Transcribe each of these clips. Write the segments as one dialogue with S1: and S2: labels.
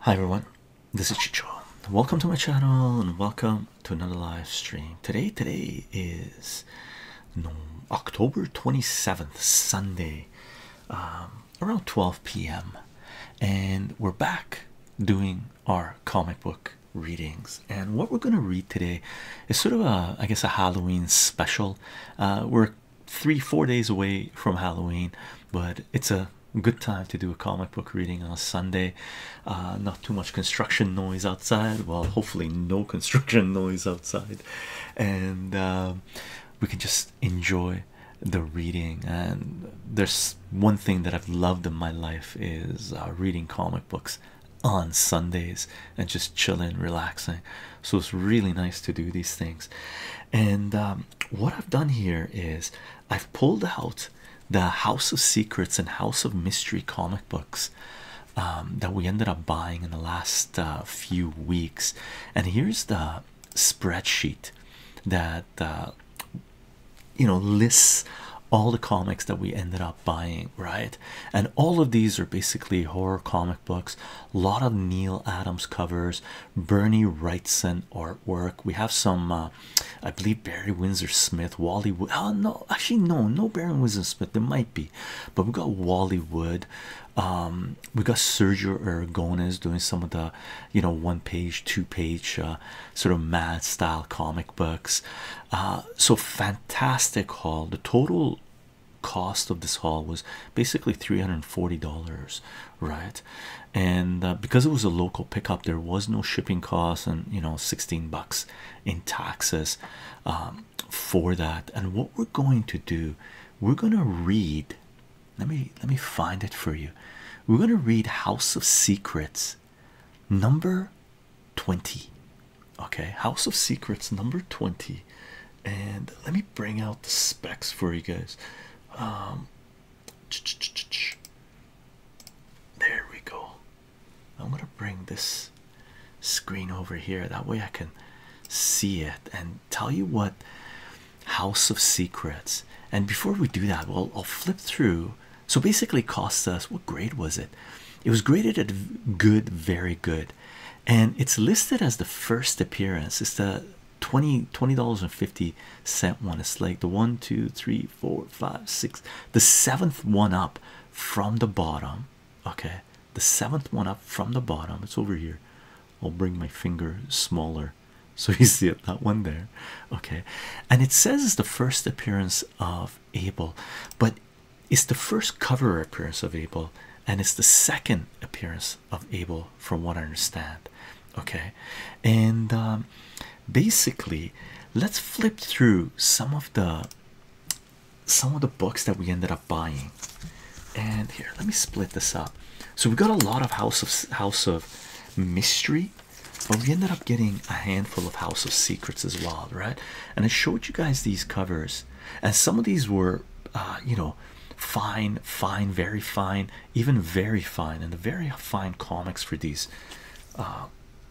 S1: Hi everyone, this is Chicho. Welcome to my channel and welcome to another live stream. Today, today is October 27th, Sunday, um, around 12 p.m. And we're back doing our comic book readings. And what we're going to read today is sort of I guess, a Halloween special. Uh, we're three, four days away from Halloween, but it's a good time to do a comic book reading on a Sunday. Uh, not too much construction noise outside. Well, hopefully, no construction noise outside, and uh, we can just enjoy the reading. And there's one thing that I've loved in my life is uh, reading comic books on Sundays and just chilling, relaxing. So it's really nice to do these things. And um, what I've done here is I've pulled out the House of Secrets and House of Mystery comic books um, that we ended up buying in the last uh, few weeks, and here's the spreadsheet that uh, you know lists all the comics that we ended up buying, right? And all of these are basically horror comic books, a lot of Neil Adams covers, Bernie Wrightson artwork. We have some, uh, I believe, Barry Windsor Smith, Wally Oh, no, actually, no, no Barry Windsor Smith. There might be, but we got Wally Wood. Um, we got Sergio Aragones doing some of the, you know, one page, two page, uh, sort of mad style comic books. so fantastic haul. The total cost of this haul was basically $340 right and uh, because it was a local pickup there was no shipping cost, and you know 16 bucks in taxes um, for that and what we're going to do we're going to read let me let me find it for you we're going to read house of secrets number 20 okay house of secrets number 20 and let me bring out the specs for you guys um, there we go. I'm gonna bring this screen over here that way I can see it and tell you what House of Secrets. And before we do that, well, I'll flip through. So basically, cost us what grade was it? It was graded at good, very good, and it's listed as the first appearance. It's the Twenty twenty dollars and 50 cent one it's like the one two three four five six the seventh one up from the bottom okay the seventh one up from the bottom it's over here I'll bring my finger smaller so you see it that one there okay and it says it's the first appearance of Abel but it's the first cover appearance of Abel and it's the second appearance of Abel from what I understand. Okay, and um, basically, let's flip through some of the some of the books that we ended up buying. And here, let me split this up. So we got a lot of House of House of Mystery, but we ended up getting a handful of House of Secrets as well, right? And I showed you guys these covers, and some of these were, uh, you know, fine, fine, very fine even very fine and the very fine comics for these uh,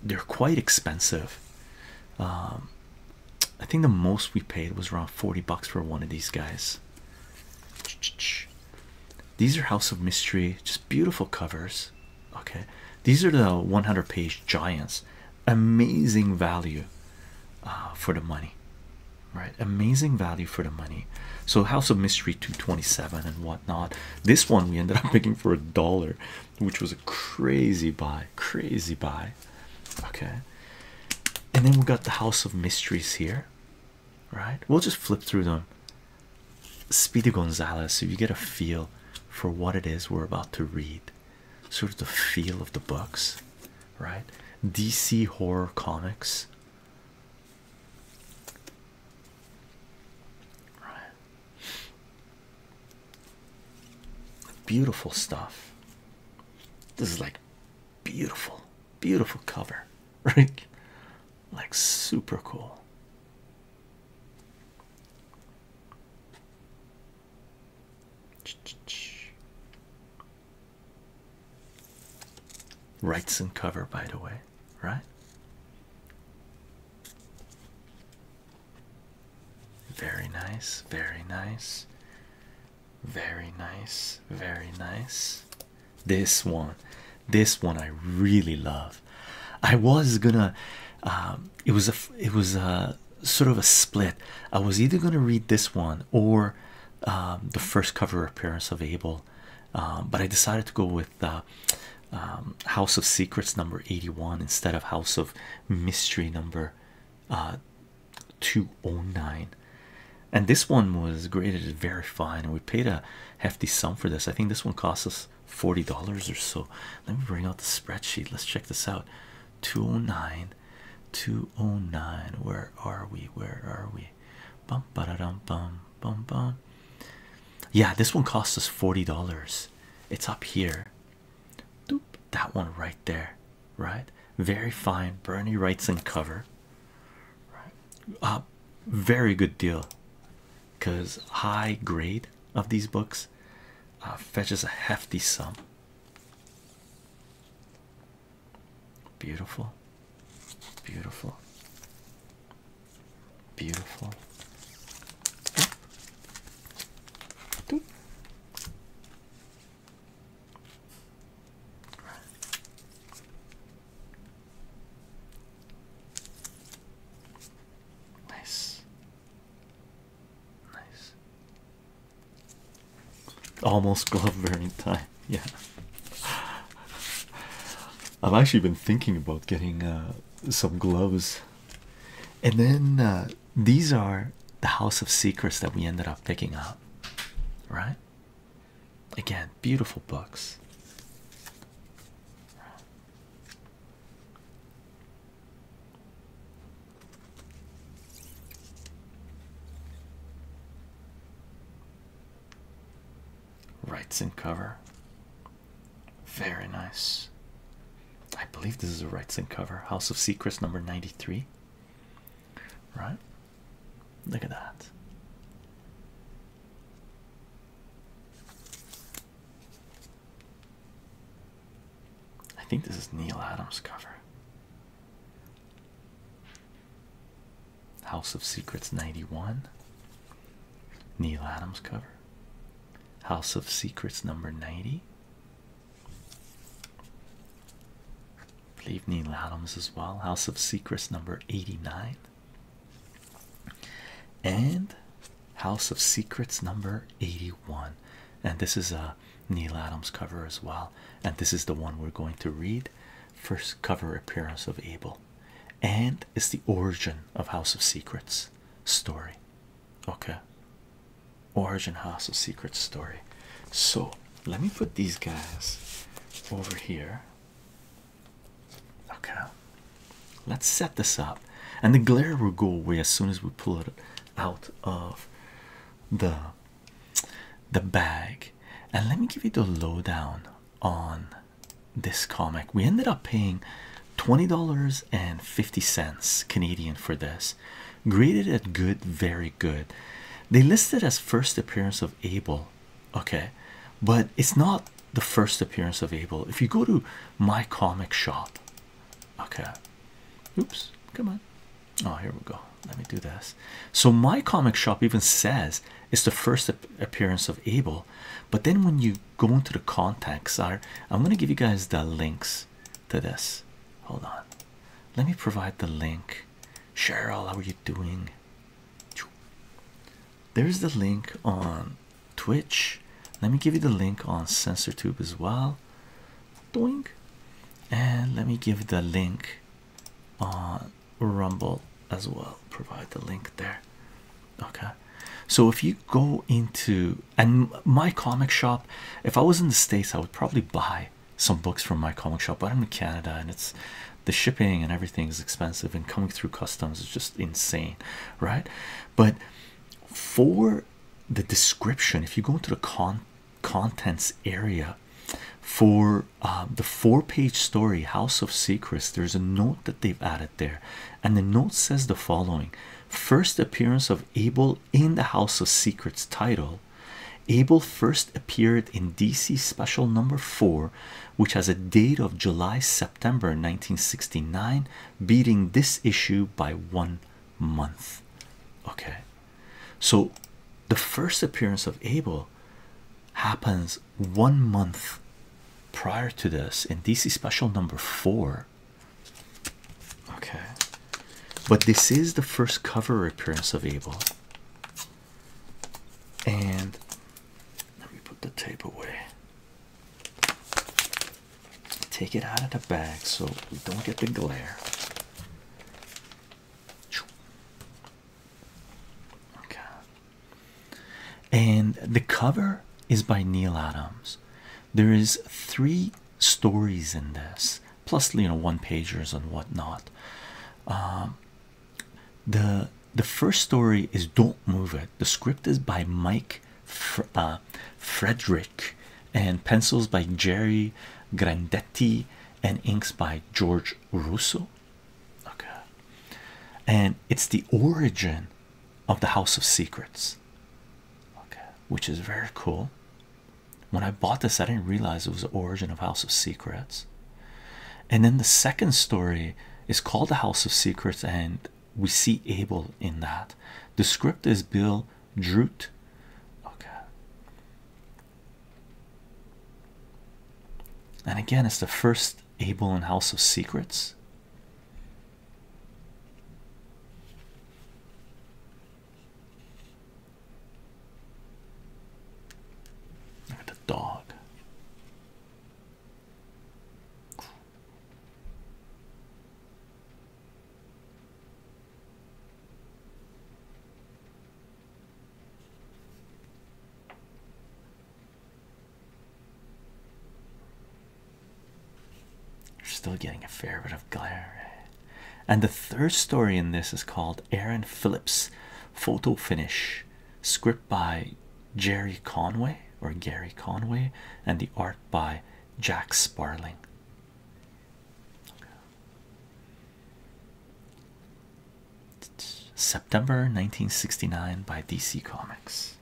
S1: they're quite expensive um, I think the most we paid was around 40 bucks for one of these guys these are House of Mystery just beautiful covers okay these are the 100 page giants amazing value uh, for the money right amazing value for the money so House of Mystery 227 and whatnot. This one we ended up picking for a dollar, which was a crazy buy, crazy buy. Okay. And then we got the House of Mysteries here. Right? We'll just flip through them. Speedy Gonzalez, so you get a feel for what it is we're about to read. Sort of the feel of the books, right? DC horror comics Beautiful stuff. This is like beautiful, beautiful cover, right? Like super cool. Rights and cover, by the way, right? Very nice, very nice, very nice, very nice. This one, this one I really love. I was gonna, um, it was a, it was a sort of a split. I was either gonna read this one or um, the first cover appearance of Abel, um, but I decided to go with with uh, um, House of Secrets number 81 instead of House of Mystery number uh, 209. And this one was graded very fine, and we paid a hefty sum for this. I think this one cost us $40 or so. Let me bring out the spreadsheet. Let's check this out 209. 209. Where are we? Where are we? Bum ba da dum bum bum bum. Yeah, this one cost us forty dollars. It's up here. Doop, that one right there, right? Very fine. Bernie Wrightson cover. Right. Uh, very good deal. Cause high grade of these books uh, fetches a hefty sum. Beautiful. Beautiful. Beautiful. Nice. Nice. Almost glove wearing time. Yeah. I've actually been thinking about getting uh, some gloves, and then uh, these are the House of Secrets that we ended up picking up, right? Again, beautiful books. Rights and cover. Very nice. I believe this is a Wrights and cover. House of Secrets number 93. Right? Look at that. I think this is Neil Adams' cover. House of Secrets 91, Neil Adams cover, House of Secrets number 90. Leave Neil Adams as well, House of Secrets number 89, and House of Secrets number 81. And this is a Neil Adams cover as well. And this is the one we're going to read. First cover appearance of Abel and is the origin of House of Secrets story. Okay, origin House of Secrets story. So let me put these guys over here. Okay, let's set this up, and the glare will go away as soon as we pull it out of the the bag. And let me give you the lowdown on this comic. We ended up paying $20.50 Canadian for this. Graded at good, very good. They listed as first appearance of Abel, okay, but it's not the first appearance of Abel. If you go to my comic shop, okay, oops, come on. Oh, here we go. Let me do this. So, my comic shop even says it's the first appearance of Abel. But then when you go into the contacts I'm going to give you guys the links to this. Hold on. Let me provide the link. Cheryl, how are you doing? There's the link on Twitch. Let me give you the link on Sensor Tube as well. Doink. And let me give the link on Rumble as well. Provide the link there. Okay. So if you go into and my comic shop, if I was in the States, I would probably buy some books from my comic shop, but I'm in Canada and it's the shipping and everything is expensive and coming through customs is just insane, right? But for the description, if you go into the con contents area for uh, the four page story House of Secrets, there's a note that they've added there and the note says the following first appearance of abel in the house of secrets title abel first appeared in dc special number four which has a date of july september 1969 beating this issue by one month okay so the first appearance of abel happens one month prior to this in DC special number four. Okay, but this is the first cover appearance of Abel, and let me put the tape away, take it out of the bag so we don't get the glare. Okay and the cover is by neil adams there is three stories in this plus you know one pagers and whatnot um, the the first story is don't move it the script is by mike uh, frederick and pencils by jerry grandetti and inks by george russo okay and it's the origin of the House of Secrets, okay, which is very cool. When I bought this, I didn't realize it was the origin of House of Secrets. And then the second story is called The House of Secrets, and we see Abel in that. The script is Bill Drute. Okay. And again, it's the first Abel in House of Secrets. Look at the dog. You're still getting a fair bit of glare, And the third story in this is called Aaron Phillips Photo Finish, script by Jerry Conway or Gary Conway, and the art by Jack Sparling. September 1969 by DC Comics.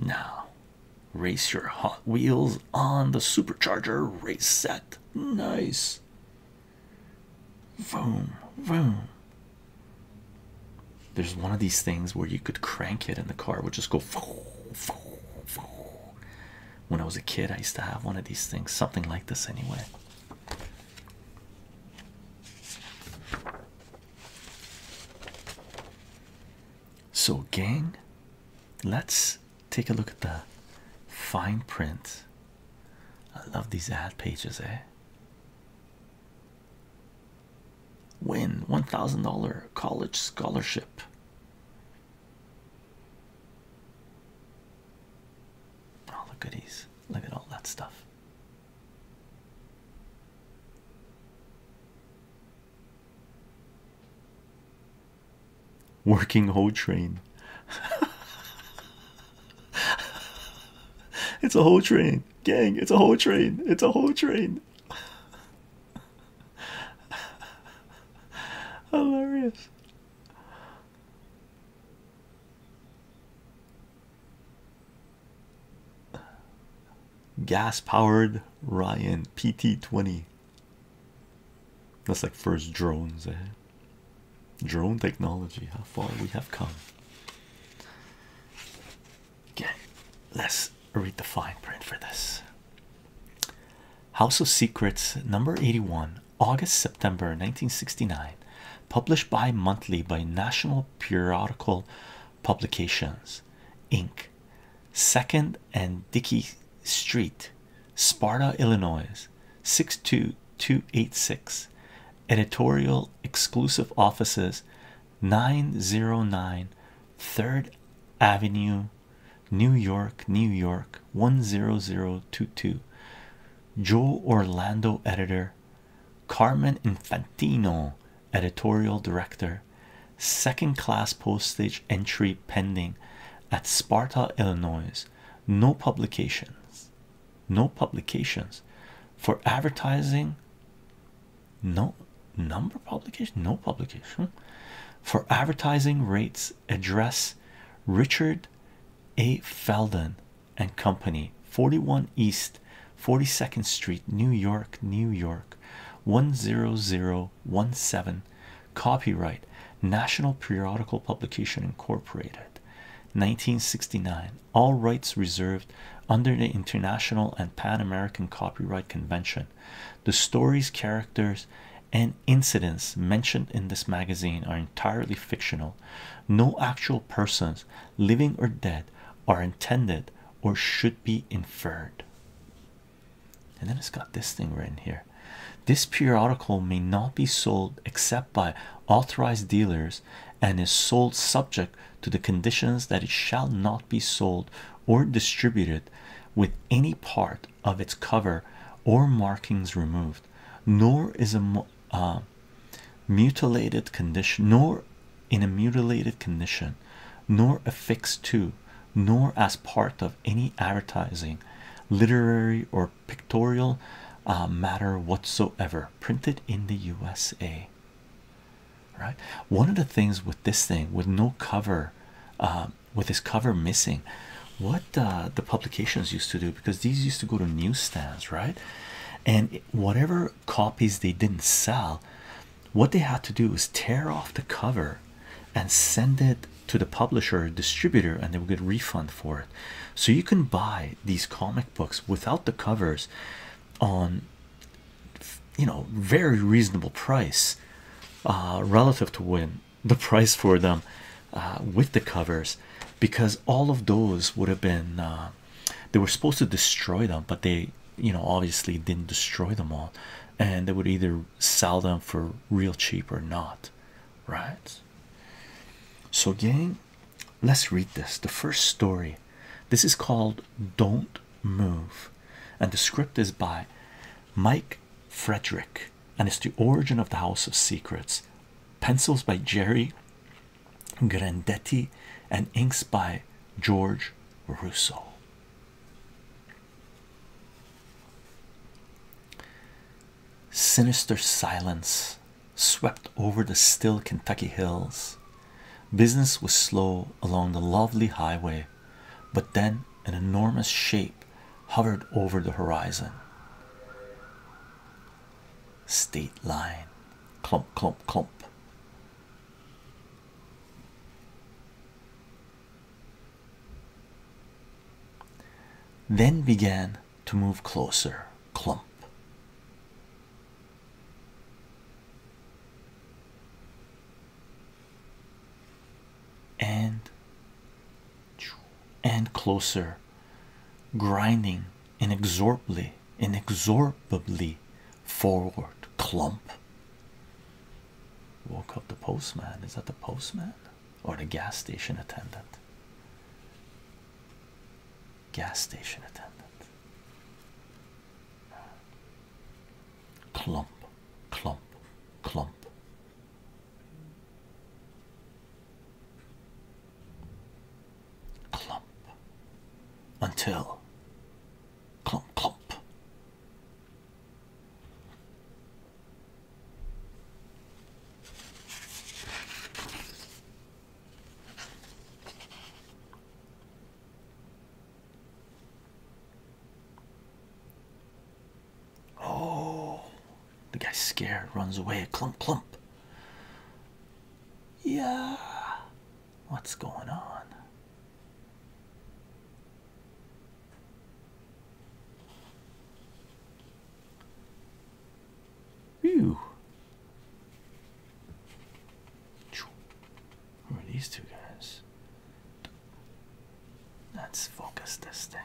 S1: Now, race your Hot Wheels on the supercharger race set. Nice. Vroom vroom. There's one of these things where you could crank it and the car would just go. vroom vroom When I was a kid, I used to have one of these things, something like this anyway. So, gang, let's take a look at the fine print. I love these ad pages, eh? Win $1,000 college scholarship. All the goodies. Look at all that stuff. Working hoe train. it's a whole train, gang. It's a whole train. It's a whole train. Hilarious gas powered Ryan PT20 that's like first drones eh? drone technology how far we have come okay let's read the fine print for this House of Secrets number 81 August September 1969, published bi monthly by National Periodical Publications, Inc., Second and Dickey Street, Sparta, Illinois 62286, editorial exclusive offices 909 3rd Avenue, New York, New York 10022. Joe Orlando, editor, Carmen Infantino, editorial director, second class postage entry pending at Sparta, Illinois. No publications, no publications for advertising. No number publication, no publication for advertising rates. Address Richard A. Felden, and Company, 41 East 42nd Street, New York, New York, 10017. Copyright National Periodical Publication Incorporated, 1969. All rights reserved under the International and Pan American Copyright Convention. The stories, characters, and incidents mentioned in this magazine are entirely fictional. No actual persons, living or dead, are intended or should be inferred. And then it's got this thing written here. This periodical may not be sold except by authorized dealers and is sold subject to the conditions that it shall not be sold or distributed with any part of its cover or markings removed, nor is a mutilated condition nor in a mutilated condition nor affixed to nor as part of any advertising literary or pictorial uh, matter whatsoever printed in the usa right one of the things with this thing with no cover uh, with this cover missing what the publications used to do because these used to go to newsstands, right? And whatever copies they didn't sell, what they had to do was tear off the cover and send it to the publisher or distributor, and they would get refund for it. So you can buy these comic books without the covers on you know very reasonable price uh, relative to when the price for them uh, with the covers because all of those would have been uh, they were supposed to destroy them but they you know obviously didn't destroy them all and they would either sell them for real cheap or not right so gang let's read this the first story this is called don't move and the script is by mike frederick and it's the origin of the house of secrets pencils by jerry Grandetti, and inks by George Russo. Sinister silence swept over the still Kentucky hills. Business was slow along the lovely highway, but then an enormous shape hovered over the horizon state line. Clump, clump, clump. Then began to move closer. Clump. And and closer, grinding inexorably inexorably forward clump woke up the postman is that the postman or the gas station attendant gas station attendant clump clump clump clump until clump clump oh the guy's scared, runs away, clump clump. Yeah, what's going on? Whew. Who are these two guys? Let's focus this thing.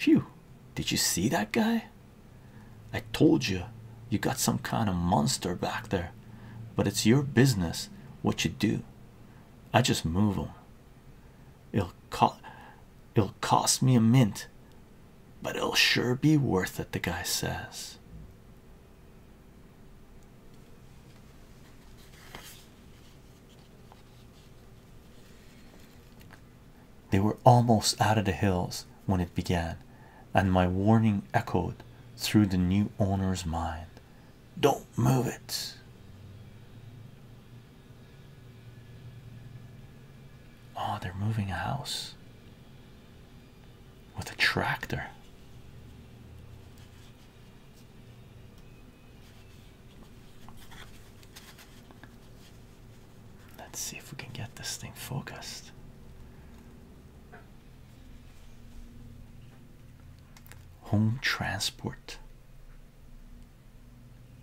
S1: Whew! did you see that guy? I told you, you got some kind of monster back there, but it's your business what you do. I just move them. It'll, co it'll cost me a mint, but it'll sure be worth it, the guy says. They were almost out of the hills when it began, and my warning echoed through the new owner's mind. Don't move it. Oh, they're moving a house with a tractor. Let's see if we can get this thing focused. Home Transport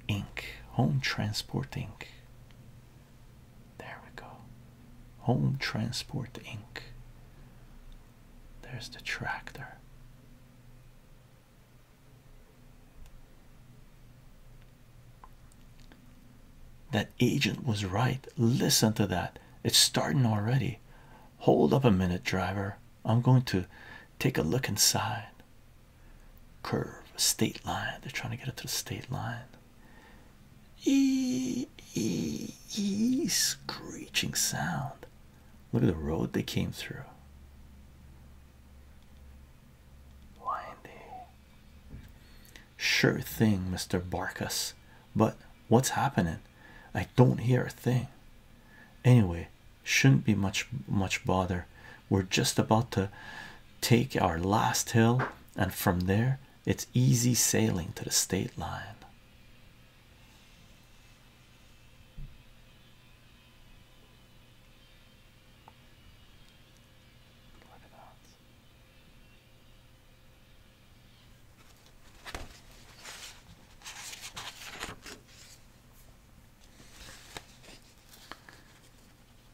S1: ink. Home Transport ink. There we go. Home Transport ink. There's the tractor. That agent was right. Listen to that. It's starting already. Hold up a minute, driver. I'm going to take a look inside. Curve, state line. They're trying to get it to the state line. E, e, e, screeching sound. Look at the road they came through. Windy. Sure thing, Mr. Barkus. But what's happening? I don't hear a thing. Anyway, shouldn't be much much bother. We're just about to take our last hill, and from there it's easy sailing to the state line.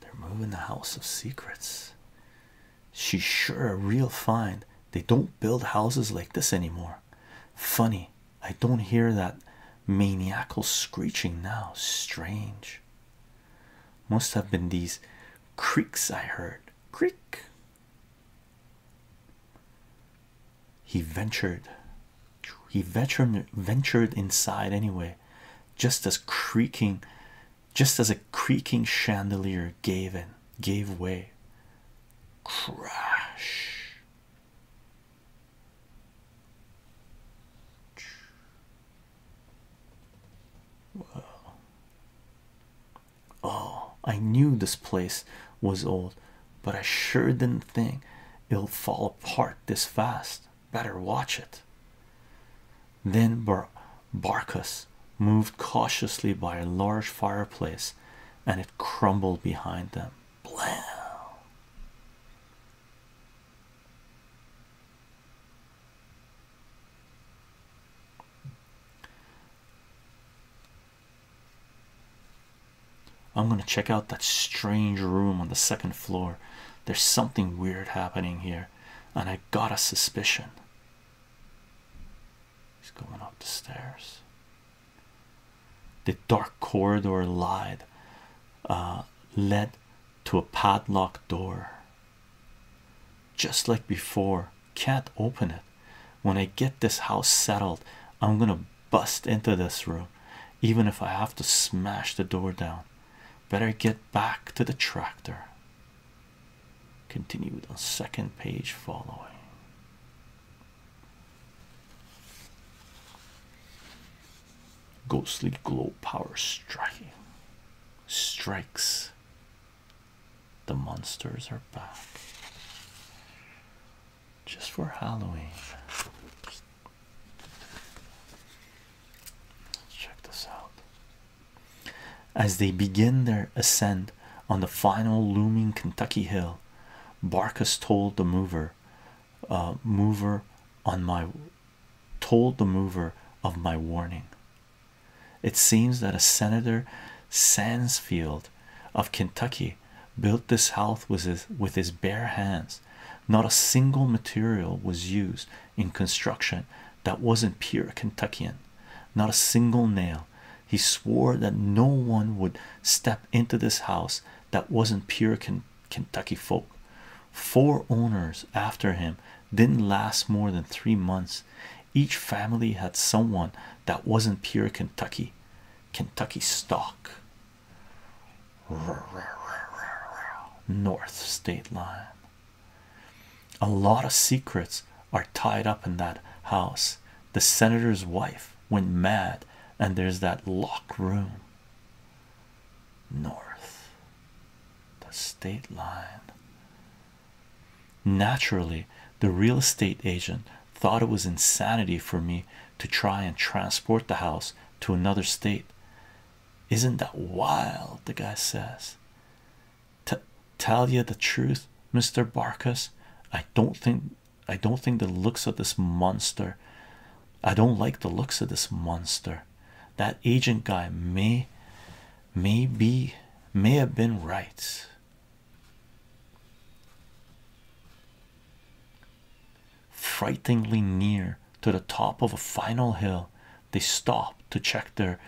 S1: They're moving the House of Secrets. She's sure a real find. They don't build houses like this anymore. Funny, I don't hear that maniacal screeching now. Strange. Must have been these creaks I heard. Creak. He ventured. He ventured ventured inside anyway, just as creaking, just as a creaking chandelier gave in, gave way. Crash. Whoa. Oh, I knew this place was old, but I sure didn't think it would fall apart this fast. Better watch it. Then Bar Barkus moved cautiously by a large fireplace and it crumbled behind them. Blam! I'm gonna check out that strange room on the second floor. There's something weird happening here, and I got a suspicion. He's going up the stairs. The dark corridor lied, uh, led to a padlocked door. Just like before, can't open it. When I get this house settled, I'm gonna bust into this room, even if I have to smash the door down. Better get back to the tractor. Continued on second page following. Ghostly glow power striking strikes. The monsters are back just for Halloween. Let's check this out. As they begin their ascent on the final looming Kentucky hill, Barkus told the mover, uh, mover on my told the mover of my warning. It seems that a senator Sansfield of Kentucky built this house with his, bare hands. Not a single material was used in construction that wasn't pure Kentuckian, not a single nail. He swore that no one would step into this house that wasn't pure Kentucky folk. Four owners after him didn't last more than three months. Each family had someone that wasn't pure Kentucky, Kentucky stock. North state line. A lot of secrets are tied up in that house. The senator's wife went mad, and there's that locked room. North the state line. Naturally, the real estate agent thought it was insanity for me to try and transport the house to another state. Isn't that wild? The guy says. T tell you the truth, Mr. Barkas. I don't think I don't think the looks of this monster. I don't like the looks of this monster that agent guy may may be may have been right frighteningly near to the top of a final hill they stopped to check their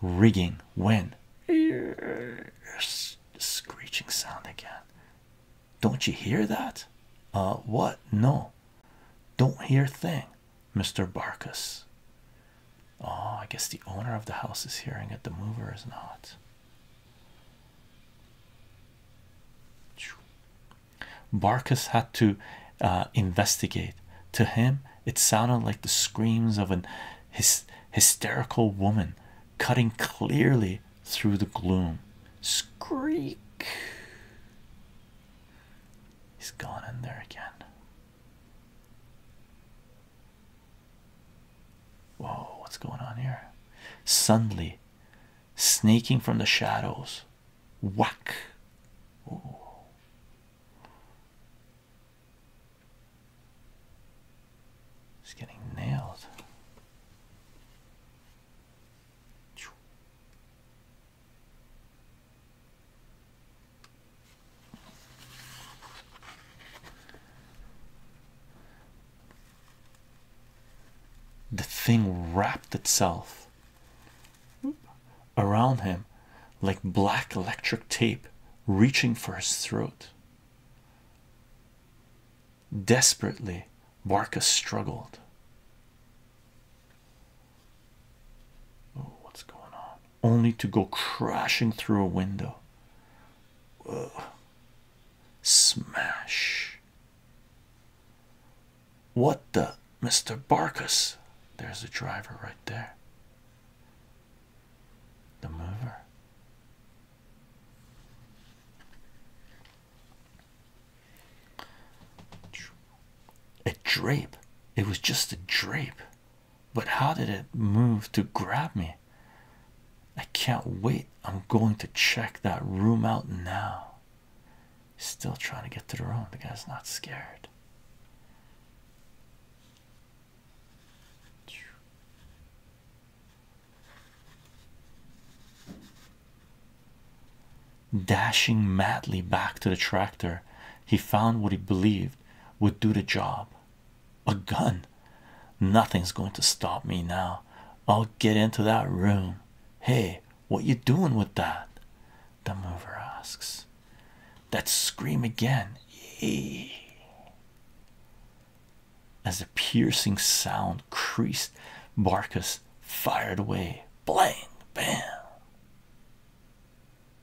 S1: rigging when screeching sound again don't you hear that uh what no don't hear thing Mr. Barkus. Oh, I guess the owner of the house is hearing it, the mover is not. Barkus had to uh, investigate. To him, it sounded like the screams of an hysterical woman cutting clearly through the gloom. Screak! He's gone in there again. Whoa, what's going on here? Suddenly, snaking from the shadows, whack. He's getting nailed. The thing wrapped itself around him like black electric tape, reaching for his throat. Desperately, Barca struggled. Oh, what's going on? Only to go crashing through a window. Smash. What the? Mr. Barkus. There's a driver right there. The mover a drape it was just a drape but how did it move to grab me i can't wait i'm going to check that room out now still trying to get to the room the guy's not scared Dashing madly back to the tractor, he found what he believed would do the job a gun. Nothing's going to stop me now. I'll get into that room. Hey, what you doing with that? The mover asks. That scream again. As the piercing sound creased, Barcus fired away. Blang, bam.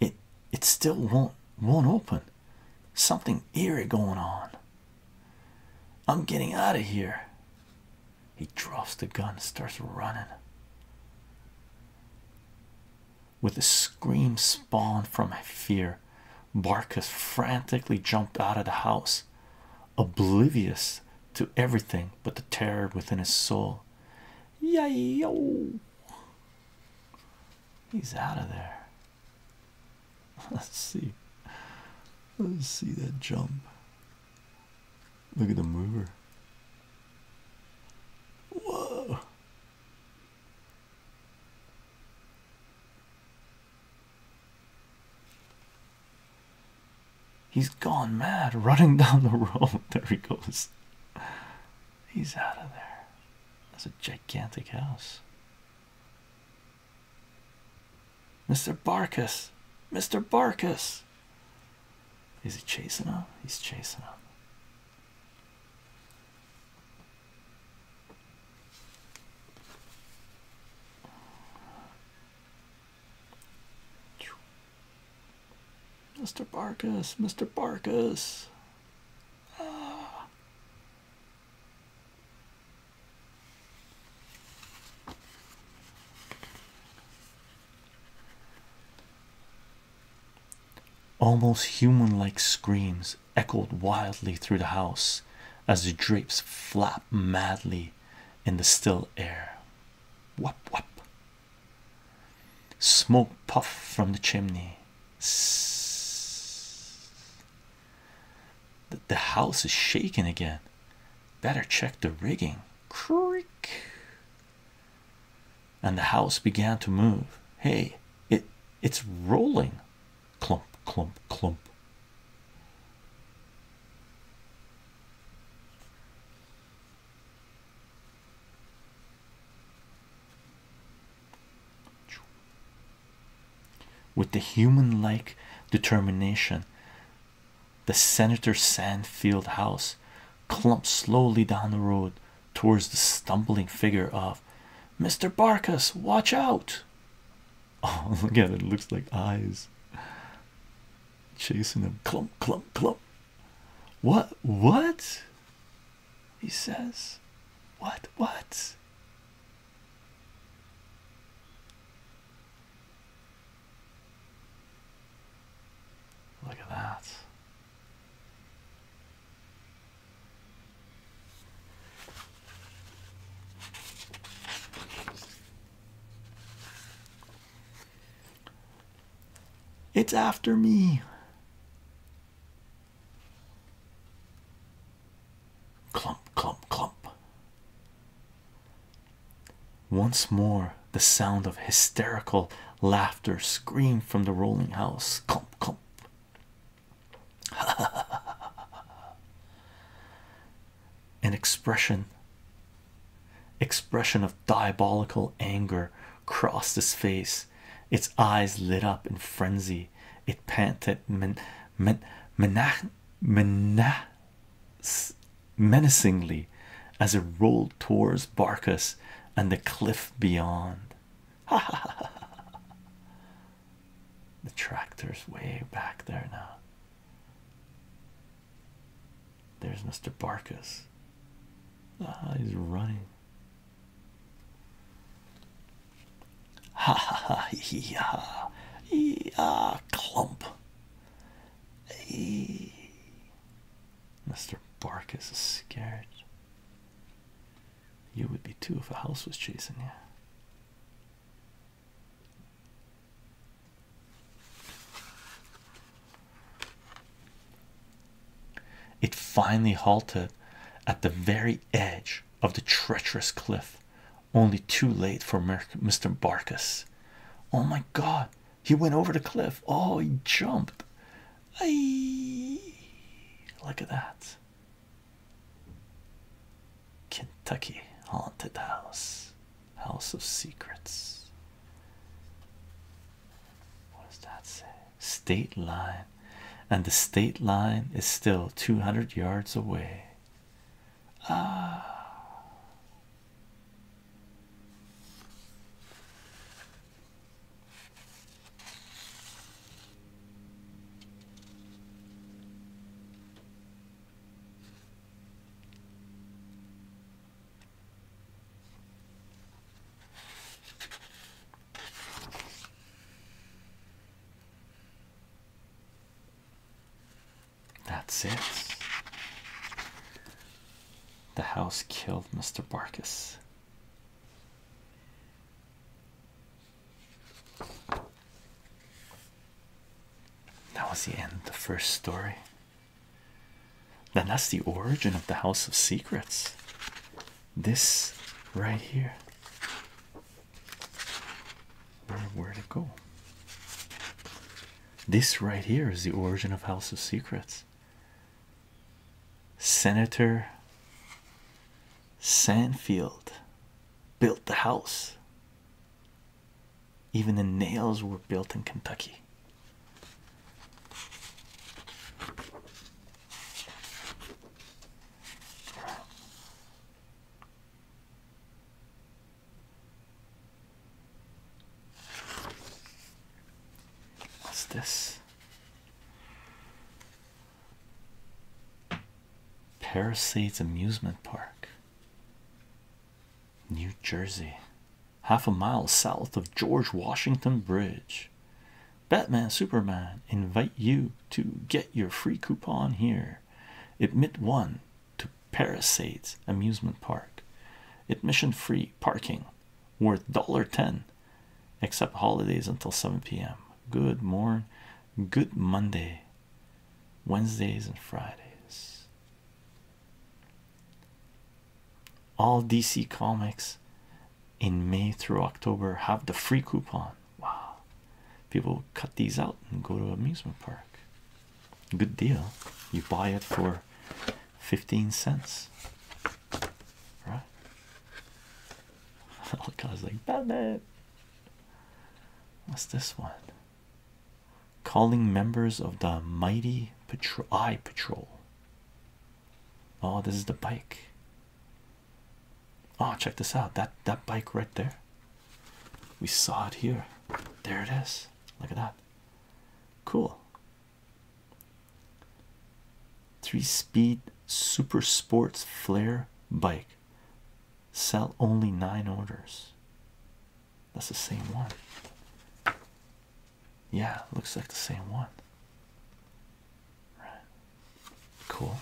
S1: it it still won't won't open something eerie going on i'm getting out of here he drops the gun and starts running with a scream spawned from my fear barkus frantically jumped out of the house oblivious to everything but the terror within his soul Yo! He's out of there. Let's see. Let's see that jump. Look at the mover. Whoa. He's gone mad running down the road. There he goes. He's out of there. That's a gigantic house. Mr. Barkus! Mr. Barkus! Is he chasing him? He's chasing him. Mr. Barkis, Mr. Barkis! Ah. Almost human like screams echoed wildly through the house as the drapes flap madly in the still air. Whop, whop, Smoke puff from the chimney. The house is shaking again. Better check the rigging. Creak. And the house began to move. Hey, it it's rolling. Clump, clump, clump. With the human like determination, the Senator Sandfield house clumped slowly down the road towards the stumbling figure of Mr. Barkus. Watch out! Oh, look at it, it looks like eyes chasing him. Clump, clump, clump. What? What? He says, What? What? Look at that. It's after me. Clump, clump, clump. Once more, the sound of hysterical laughter screamed from the rolling house. Clump, clump. An expression expression of diabolical anger crossed his face its eyes lit up in frenzy. It panted, men, men, menach, menace, menacingly as it rolled towards Barkus and the cliff beyond. Ha ha ha the tractor's way back there now. There's Mr. Barkus. Ah, he's running. Ha ha ha, yeah, yeah, clump. Hey. Mr. Barkus is scared. You would be too if a house was chasing you. It finally halted at the very edge of the treacherous cliff, only too late for Mr. Barkis. Oh my god, he went over the cliff. Oh, he jumped. Aye. Look at that. Kentucky Haunted House, House of Secrets. What does that say? state line, and the state line is still 200 yards away. Ah. That's it. The house killed Mr. Barkis. That was the end of the first story. Then that's the origin of the House of Secrets this right here. Where, where it go? This right here is the origin of House of Secrets. Senator Sandfield built the house. Even the nails were built in Kentucky. What's this? Parasites Amusement Park, New Jersey, half a mile south of George Washington Bridge. Batman Superman invite you to get your free coupon here. Admit one to Parasites Amusement Park. Admission free parking worth dollar ten except holidays until 7 p.m. Good morn, good Monday, Wednesdays and Fridays. All DC comics in May through October have the free coupon. Wow, people cut these out and go to amusement park. Good deal. You buy it for 15 cents, right? I was like, Batman. What's this one? Calling members of the mighty patrol eye patrol. Oh, this is the bike. Oh, check this out. That that bike right there. We saw it here. There it is. Look at that. Cool. Three-speed super sports flare bike. Sell only nine orders. That's the same one. Yeah, looks like the same one. Right. Cool.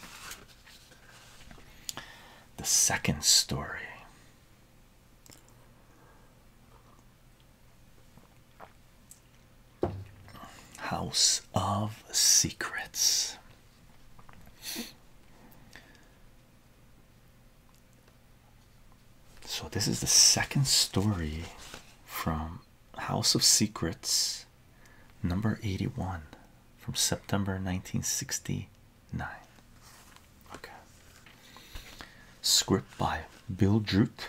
S1: The second story. House of Secrets. So, this is the second story from House of Secrets, number 81 from September 1969. Okay. Script by Bill Drute,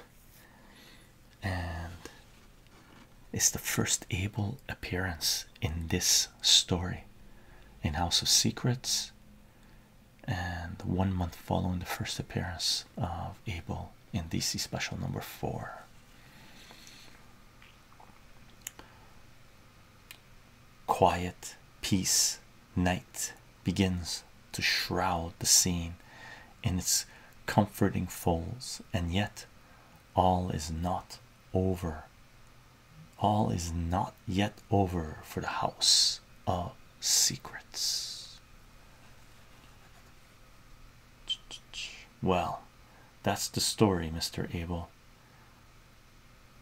S1: and it's the first Abel appearance in this story in House of Secrets. And one month following the first appearance of Abel in DC special number four. Quiet peace night begins to shroud the scene in its comforting folds, and yet all is not over. All is not yet over for the house of secrets. Well, that's the story, Mr. Abel.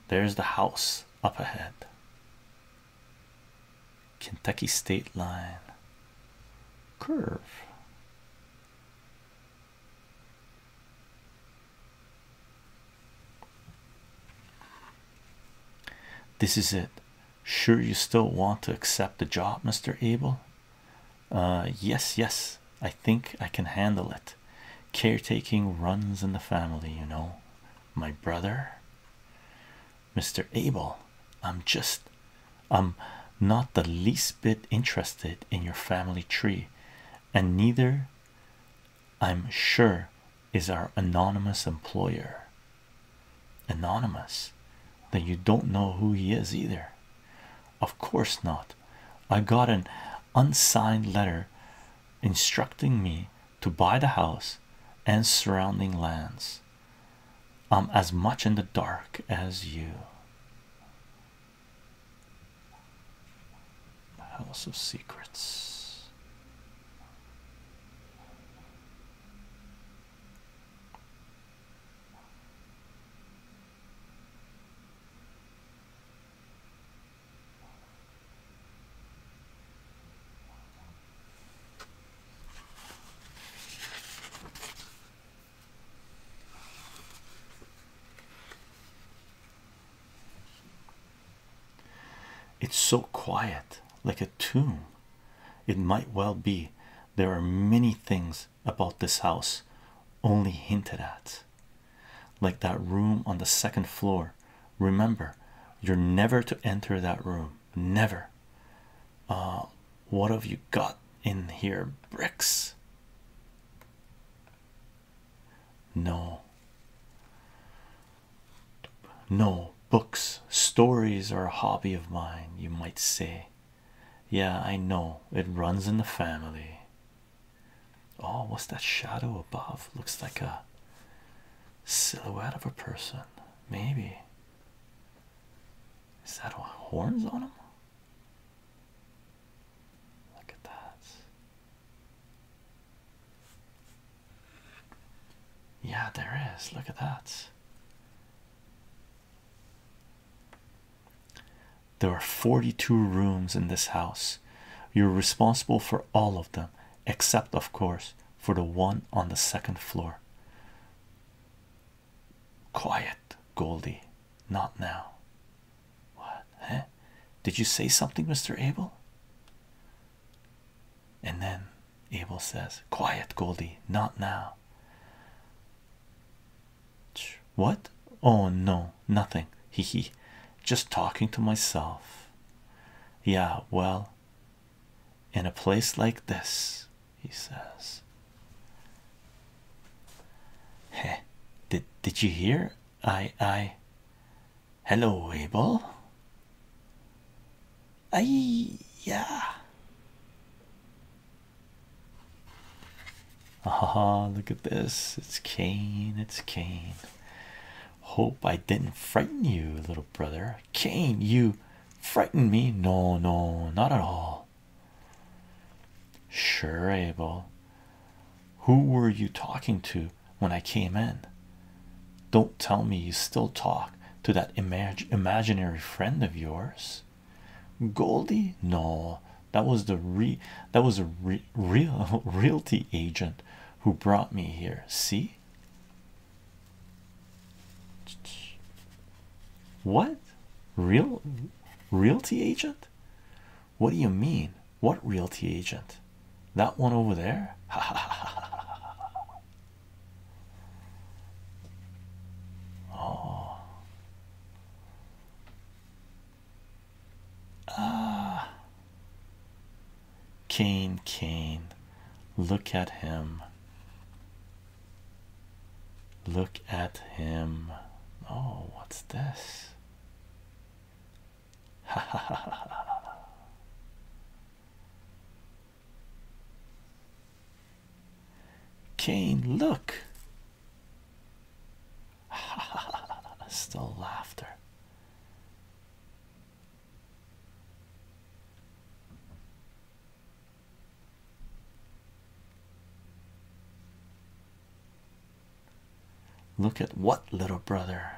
S1: There's the house up ahead. Kentucky state line curve. This is it. Sure, you still want to accept the job, Mr. Abel? Uh, yes, yes, I think I can handle it. Caretaking runs in the family, you know. My brother, Mr. Abel, I'm just, I'm not the least bit interested in your family tree, and neither, I'm sure, is our anonymous employer. Anonymous, then you don't know who he is either. Of course not. I got an unsigned letter instructing me to buy the house and surrounding lands. I'm as much in the dark as you. House of Secrets. It's so quiet, like a tomb. It might well be there are many things about this house, only hinted at. Like that room on the second floor. Remember, you're never to enter that room. Never. Uh, what have you got in here? Bricks? No. No, books, stories are a hobby of mine, you might say. Yeah, I know it runs in the family. Oh, what's that shadow above? Looks like a silhouette of a person, maybe. Is that horns on him? Look at that. Yeah, there is. Look at that. There are 42 rooms in this house. You're responsible for all of them, except, of course, for the one on the second floor. Quiet, Goldie. Not now. What? Huh? Did you say something, Mr. Abel? And then Abel says, Quiet, Goldie. Not now. What? Oh no, nothing. He he, Just talking to myself. Yeah, well, in a place like this, he says. Hey, did did you hear? I I hello Abel. I yeah. Haha, look at this. It's Cain. It's Cain. Hope I didn't frighten you, little brother. Cain, you frightened me. No, no, not at all. Sure, Abel. Who were you talking to when I came in? Don't tell me you still talk to that imag imaginary friend of yours. Goldie? No, that was the re that was a re real realty agent who brought me here. See what real realty agent? What do you mean? What realty agent? That one over there? oh. Ah, Cain, Kane, look at him. Look at him. Oh, what's this? Ha ha ha ha. Kane, look. Still laughter. Look at what little brother.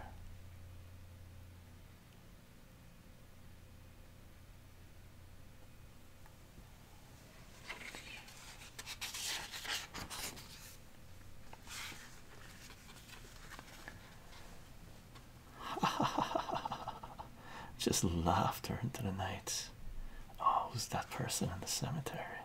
S1: Just laughter into the night. Oh, who's that person in the cemetery?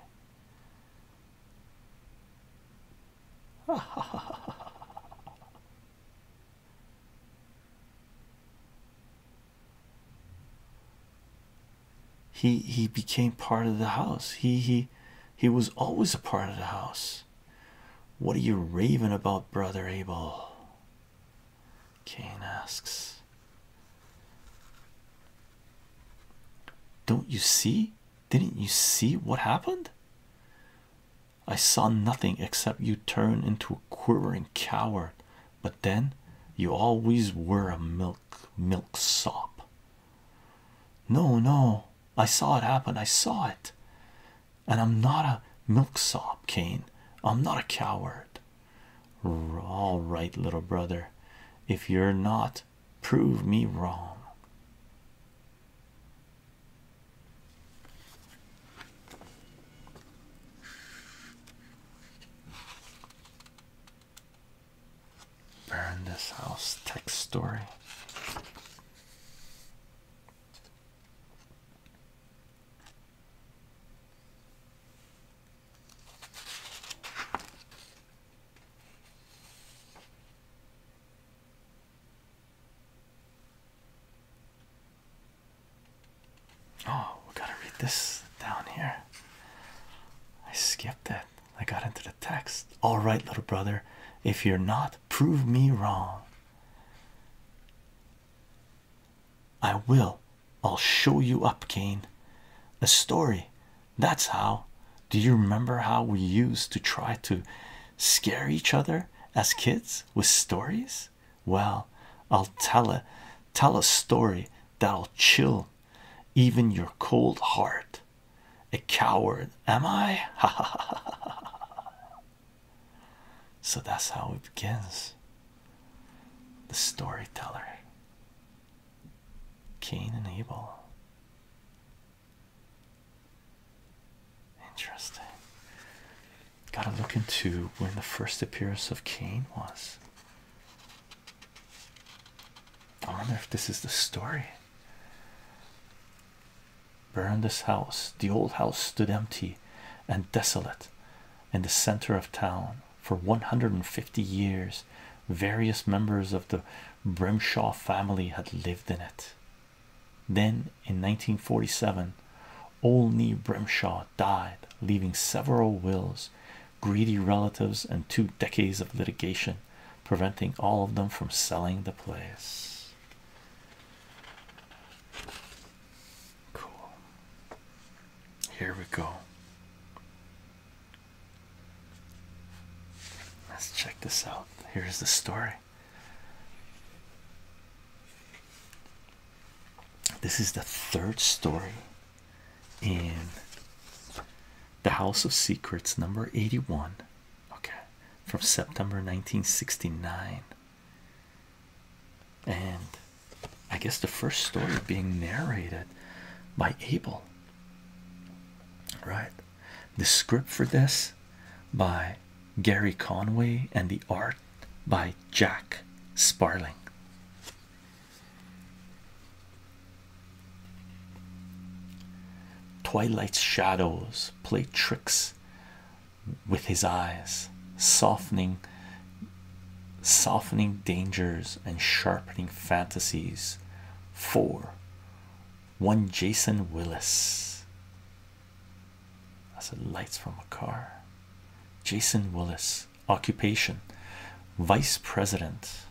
S1: he he became part of the house he he he was always a part of the house what are you raving about brother abel Cain asks don't you see didn't you see what happened I saw nothing except you turn into a quivering coward but then you always were a milk sop no no i saw it happen i saw it and i'm not a milksop kane i'm not a coward all right little brother if you're not prove me wrong Burn this house text story. Oh, gotta read this down here. I skipped it. I got into the text. All right, little brother. If you're not, prove me wrong. I will. I'll show you up, Kane. A story. That's how. Do you remember how we used to try to scare each other as kids with stories? Well, I'll tell a tell a story that'll chill even your cold heart. A coward, am I? so that's how it begins. The storyteller, Cain and Abel. Interesting. Gotta look into when the first appearance of Cain was. I wonder if this is the story. Burned this house. The old house stood empty and desolate in the center of town for 150 years. Various members of the Brimshaw family had lived in it. Then in 1947, Olney Brimshaw died, leaving several wills, greedy relatives, and two decades of litigation preventing all of them from selling the place. Cool. Here we go. Let's check this out. Here's the story. This is the third story in the House of Secrets, number 81. Okay, from September 1969. And I guess the first story being narrated by Abel. Right? The script for this by Gary Conway and the art by Jack Sparling. Twilight's shadows play tricks with his eyes, softening softening dangers and sharpening fantasies. Four one Jason Willis. That's the lights from a car. Jason Willis occupation vice president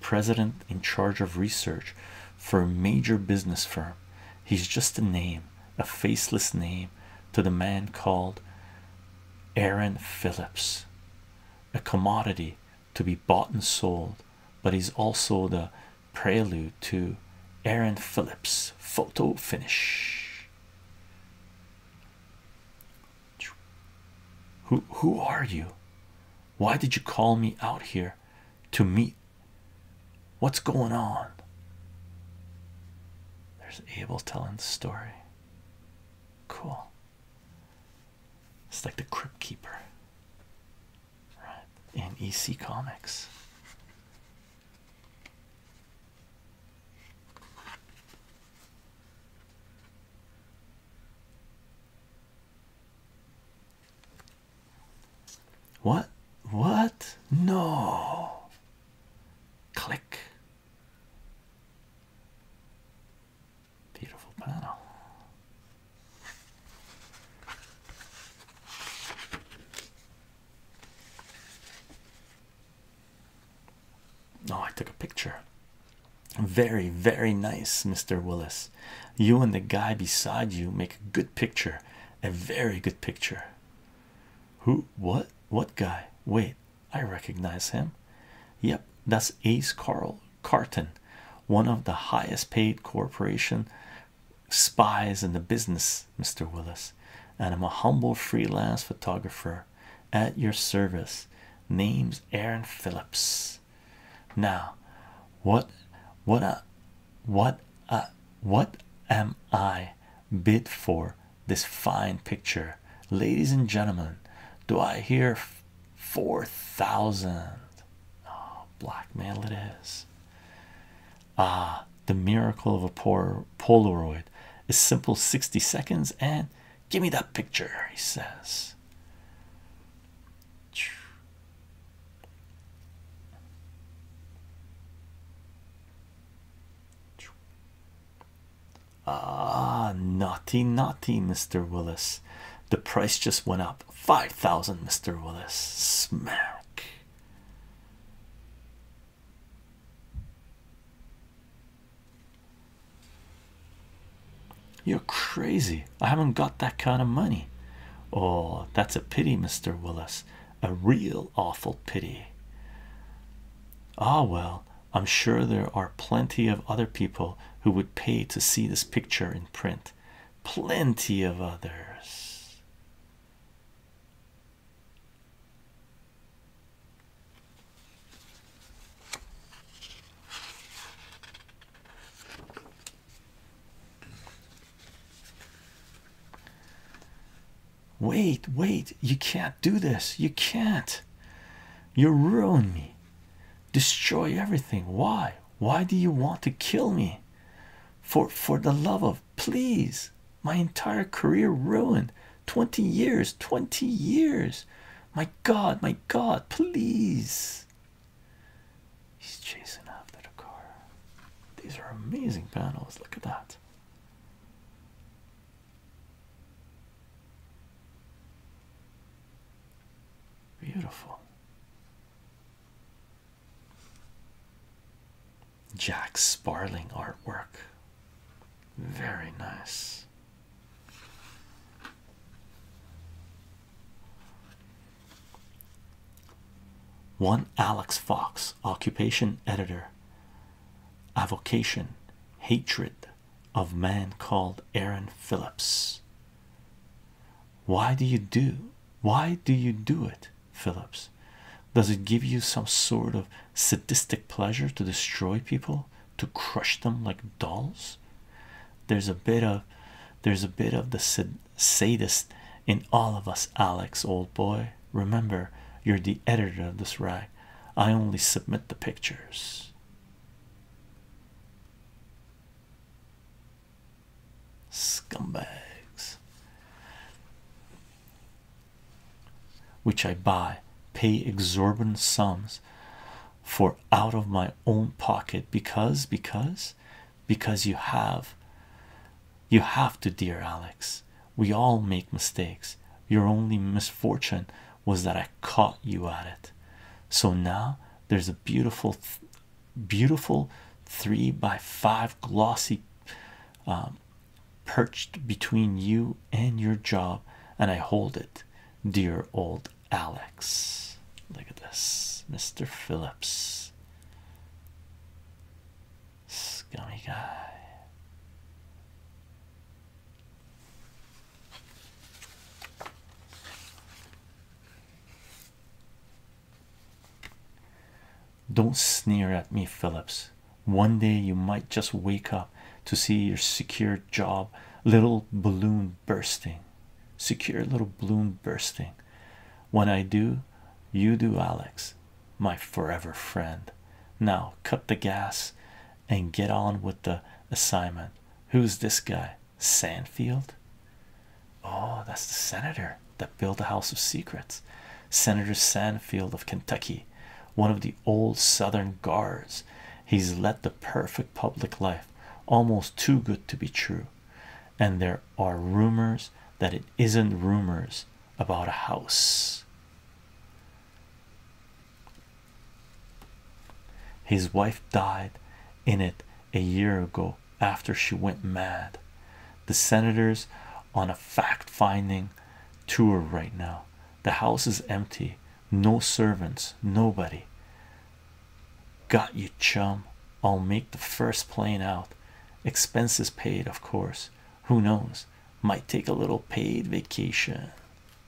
S1: president in charge of research for a major business firm. He's just a name, a faceless name to the man called Aaron Phillips, a commodity to be bought and sold, but he's also the prelude to Aaron Phillips photo finish. Who who are you? Why did you call me out here to meet? What's going on? There's Abel telling the story. Cool. It's like the Crypt Keeper, right? In EC Comics. What? What? No. Click. Beautiful panel. No, oh, I took a picture. Very, very nice, Mr. Willis. You and the guy beside you make a good picture, a very good picture. Who, what, what guy? Wait, I recognize him. Yep, that's Ace Carl Carton, one of the highest paid corporation spies in the business, Mr. Willis. And I'm a humble freelance photographer at your service. Name's Aaron Phillips now what what a what a what am i bid for this fine picture ladies and gentlemen do i hear four thousand oh, blackmail it is ah the miracle of a poor polaroid a simple 60 seconds and Give me that picture, he says. Ah, naughty, naughty, Mr. Willis. The price just went up 5,000, Mr. Willis. Smack. You're crazy. I haven't got that kind of money. Oh, that's a pity, Mr. Willis. A real awful pity. Ah, well, I'm sure there are plenty of other people who would pay to see this picture in print. Plenty of others. Wait, wait, you can't do this. You can't. You ruin me. Destroy everything. Why? Why do you want to kill me? For for the love of please. My entire career ruined. 20 years, 20 years. My God, my God, please. He's chasing after the car. These are amazing panels. Look at that. Beautiful. Jack Sparling artwork. Very nice. One Alex Fox, occupation editor, avocation, hatred of man called Aaron Phillips. Why do you do? Why do you do it, Phillips? Does it give you some sort of sadistic pleasure to destroy people? to crush them like dolls there's a bit of there's a bit of the sadist in all of us alex old boy remember you're the editor of this rag i only submit the pictures scumbags which i buy pay exorbitant sums for out of my own pocket because because because you have you have to dear alex we all make mistakes your only misfortune was that i caught you at it so now there's a beautiful beautiful three by five glossy um, perched between you and your job and i hold it dear old Alex. Look at this, Mr. Phillips. Scummy guy. Don't sneer at me, Phillips. One day you might just wake up to see your secure job little balloon bursting secure little bloom bursting. When I do, you do, Alex, my forever friend. Now cut the gas and get on with the assignment. Who's this guy? Sandfield? Oh, that's the senator that built the House of Secrets. Senator Sandfield of Kentucky, one of the old Southern guards. He's led the perfect public life almost too good to be true and there are rumors that it isn't rumors about a house his wife died in it a year ago after she went mad the senators on a fact-finding tour right now the house is empty no servants nobody Got you, chum. I'll make the first plane out. Expenses paid, of course. Who knows? Might take a little paid vacation.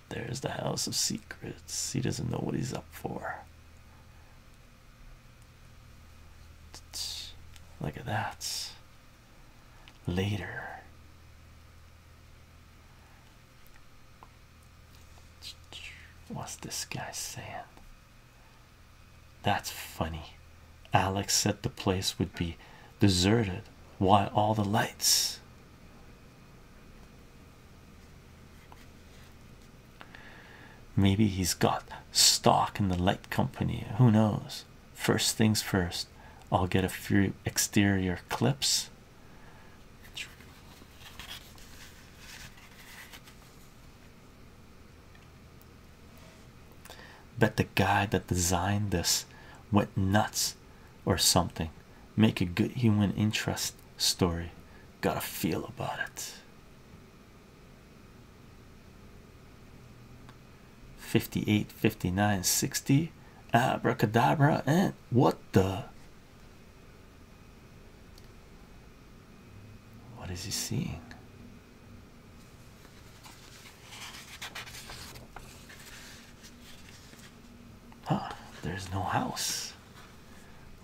S1: There's the house of secrets. He doesn't know what he's up for. Look at that. Later. What's this guy saying? That's funny. Alex said the place would be deserted. Why all the lights? Maybe he's got stock in the light company. Who knows? First things first, I'll get a few exterior clips. Bet the guy that designed this went nuts or something. Make a good human interest story. Gotta feel about it. Fifty-eight, fifty-nine, sixty. Abracadabra, and what the what is he seeing? Huh, there's no house.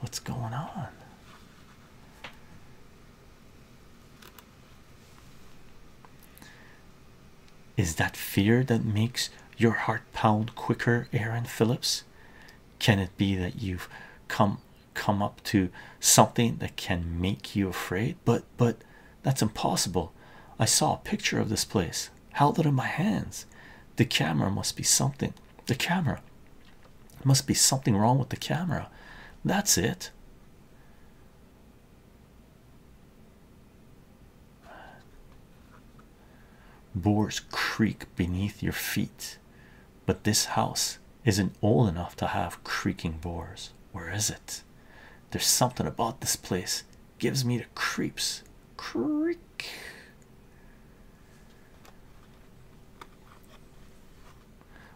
S1: What's going on? Is that fear that makes your heart pound quicker, Aaron Phillips? can it be that you've come come up to something that can make you afraid but but that's impossible i saw a picture of this place held it in my hands the camera must be something the camera must be something wrong with the camera that's it Boars creak beneath your feet but this house isn't old enough to have creaking doors. Where is it? There's something about this place gives me the creeps. Creak.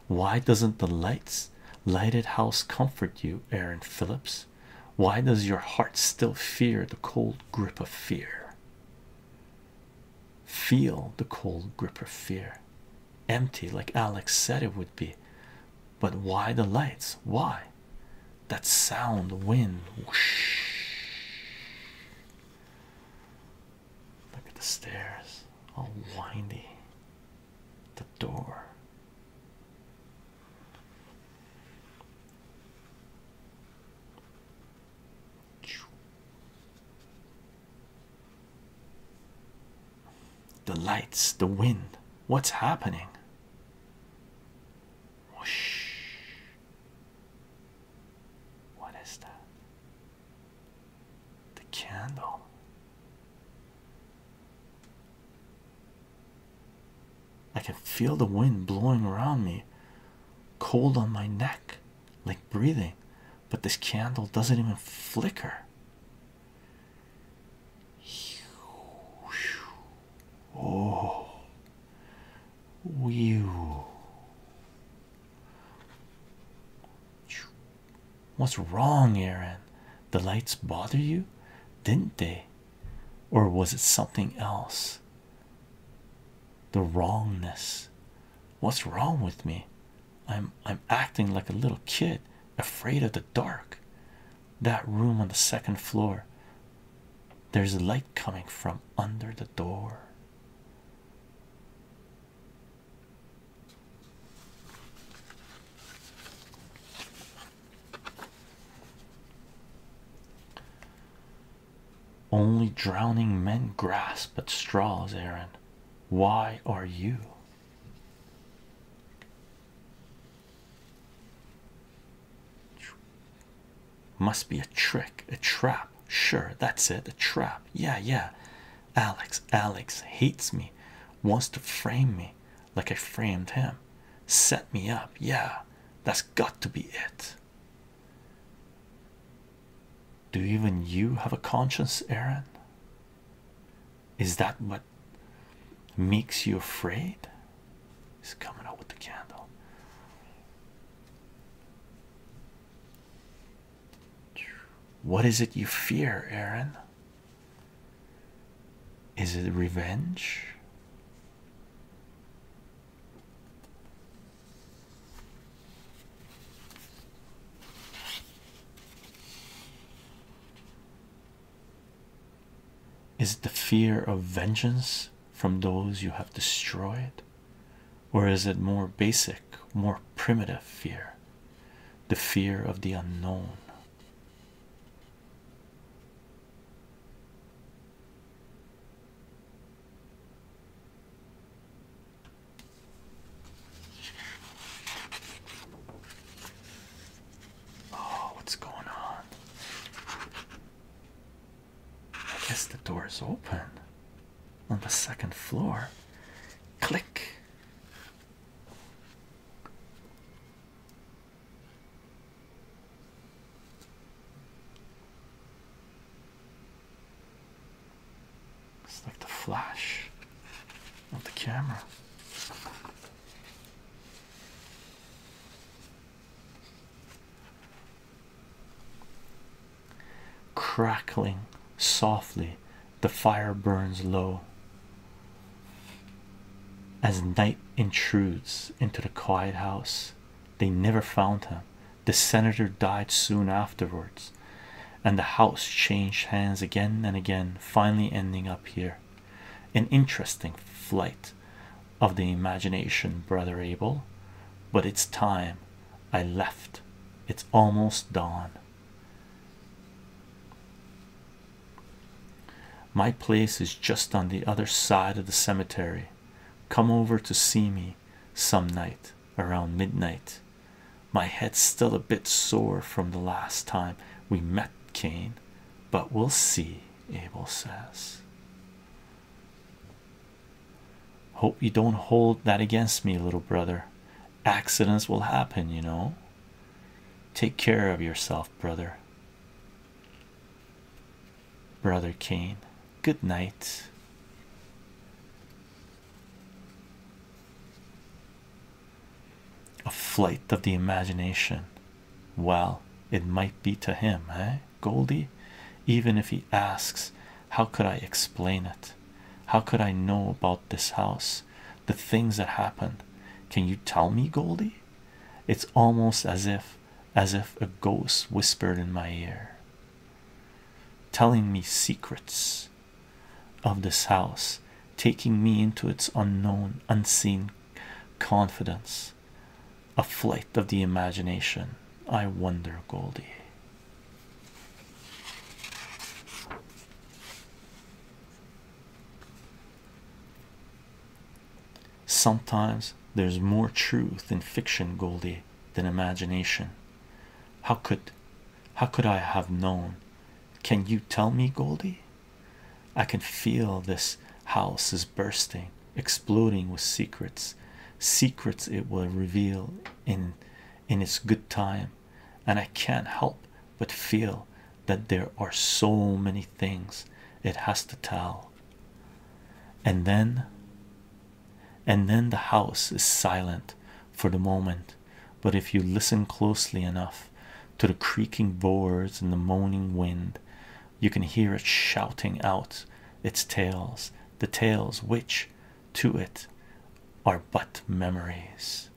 S1: Why doesn't the lights lighted house comfort you, Aaron Phillips? Why does your heart still fear the cold grip of fear? Feel the cold grip of fear. Empty, like Alex said it would be. But why the lights? Why? That sound, wind. Whoosh. Look at the stairs, all windy. The door. The lights, the wind, what's happening? What is that? The candle. I can feel the wind blowing around me, cold on my neck like breathing, but this candle doesn't even flicker. Oh, Whew. What's wrong, Aaron? The lights bother you, didn't they? Or was it something else? the wrongness what's wrong with me i'm i'm acting like a little kid afraid of the dark that room on the second floor there's light coming from under the door only drowning men grasp at straws, Aaron. Why are you? Must be a trick, a trap. Sure, that's it, a trap. Yeah, yeah. Alex, Alex hates me, wants to frame me like I framed him. Set me up. Yeah, that's got to be it. Do even you have a conscience, Aaron? Is that what makes you afraid? He's coming out with the candle. What is it you fear, Aaron? Is it revenge? Is it the fear of vengeance from those you have destroyed? Or is it more basic, more primitive fear? The fear of the unknown. Oh, what's going on? I guess the door is open on the second floor. Click. It's like the flash of the camera. Crackling softly, the fire burns low as night intrudes into the quiet house. They never found him, the senator died soon afterwards, and the house changed hands again and again, finally ending up here. An interesting flight of the imagination, brother Abel. But it's time I left, it's almost dawn. My place is just on the other side of the cemetery. Come over to see me some night around midnight. My head's still a bit sore from the last time we met, Cain. but we'll see, Abel says. Hope you don't hold that against me, little brother. Accidents will happen, you know. Take care of yourself, brother. Brother Cain. good night. A flight of the imagination. Well, it might be to him, eh, Goldie? Even if he asks, How could I explain it? How could I know about this house? The things that happened. Can you tell me, Goldie? It's almost as if as if a ghost whispered in my ear, telling me secrets of this house, taking me into its unknown, unseen confidence. A flight of the imagination. I wonder, Goldie. Sometimes there's more truth in fiction, Goldie, than imagination. How could how could I have known? Can you tell me, Goldie? I can feel this house is bursting, exploding with secrets, secrets it will reveal in in its good time, and I can't help but feel that there are so many things it has to tell. And then and then the house is silent for the moment. But if you listen closely enough to the creaking boards and the moaning wind, you can hear it shouting out its tales, the tales which to it are but memories.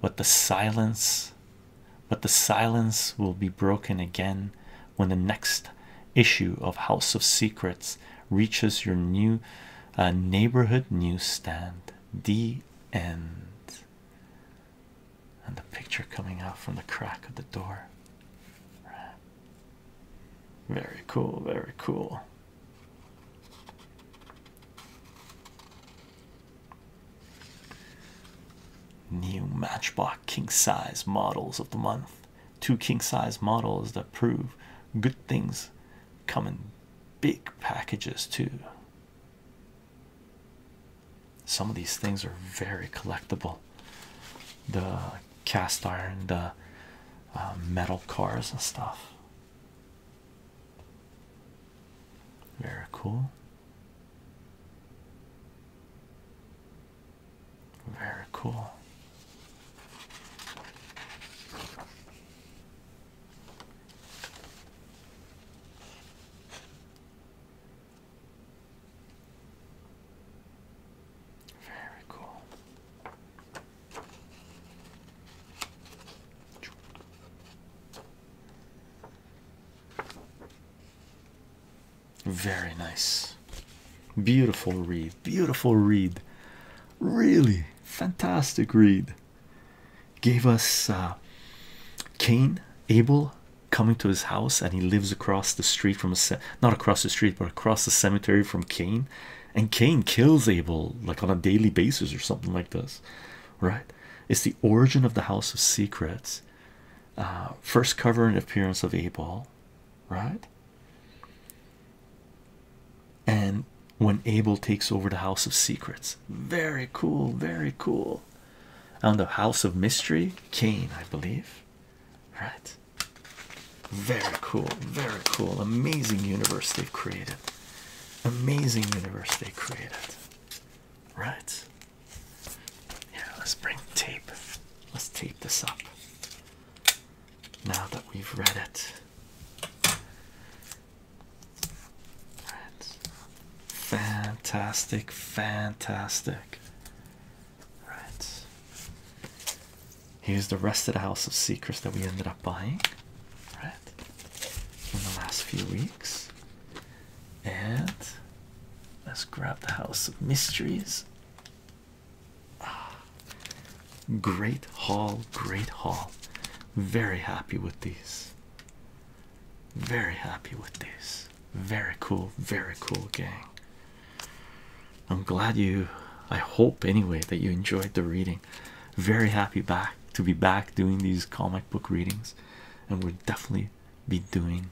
S1: But the silence, but the silence will be broken again when the next issue of House of Secrets reaches your new uh, neighborhood newsstand. The end. And the picture coming out from the crack of the door. Very cool, very cool. New Matchbox king size models of the month. Two king size models that prove good things come in big packages too. Some of these things are very collectible. The cast iron, the uh, metal cars and stuff. Very cool. Very cool. Very cool. Very nice. Beautiful wreath beautiful read, really fantastic read. Gave us uh, Cain Abel coming to his house, and he lives across the street from a not across the street, but across the cemetery from Cain. And Cain kills Abel like on a daily basis or something like this, right? It's the origin of the House of Secrets. Uh, first cover and appearance of Abel, right? and when Abel takes over the House of Secrets, very cool, very cool. On the House of Mystery, Cain, I believe, right? Very cool, very cool, amazing universe they've created, amazing universe they created, right? Yeah, let's bring tape, let's tape this up now that we've read it. Fantastic, fantastic. Right. Here's the rest of the House of Secrets that we ended up buying, right, in the last few weeks. And let's grab the House of Mysteries. Great hall, great hall, Very happy with these. Very happy with these. Very cool, very cool gang. I'm glad you I hope anyway that you enjoyed the reading. Very happy back to be back doing these comic book readings, and we'll definitely be doing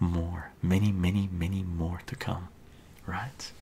S1: more, many, many, many more to come, right?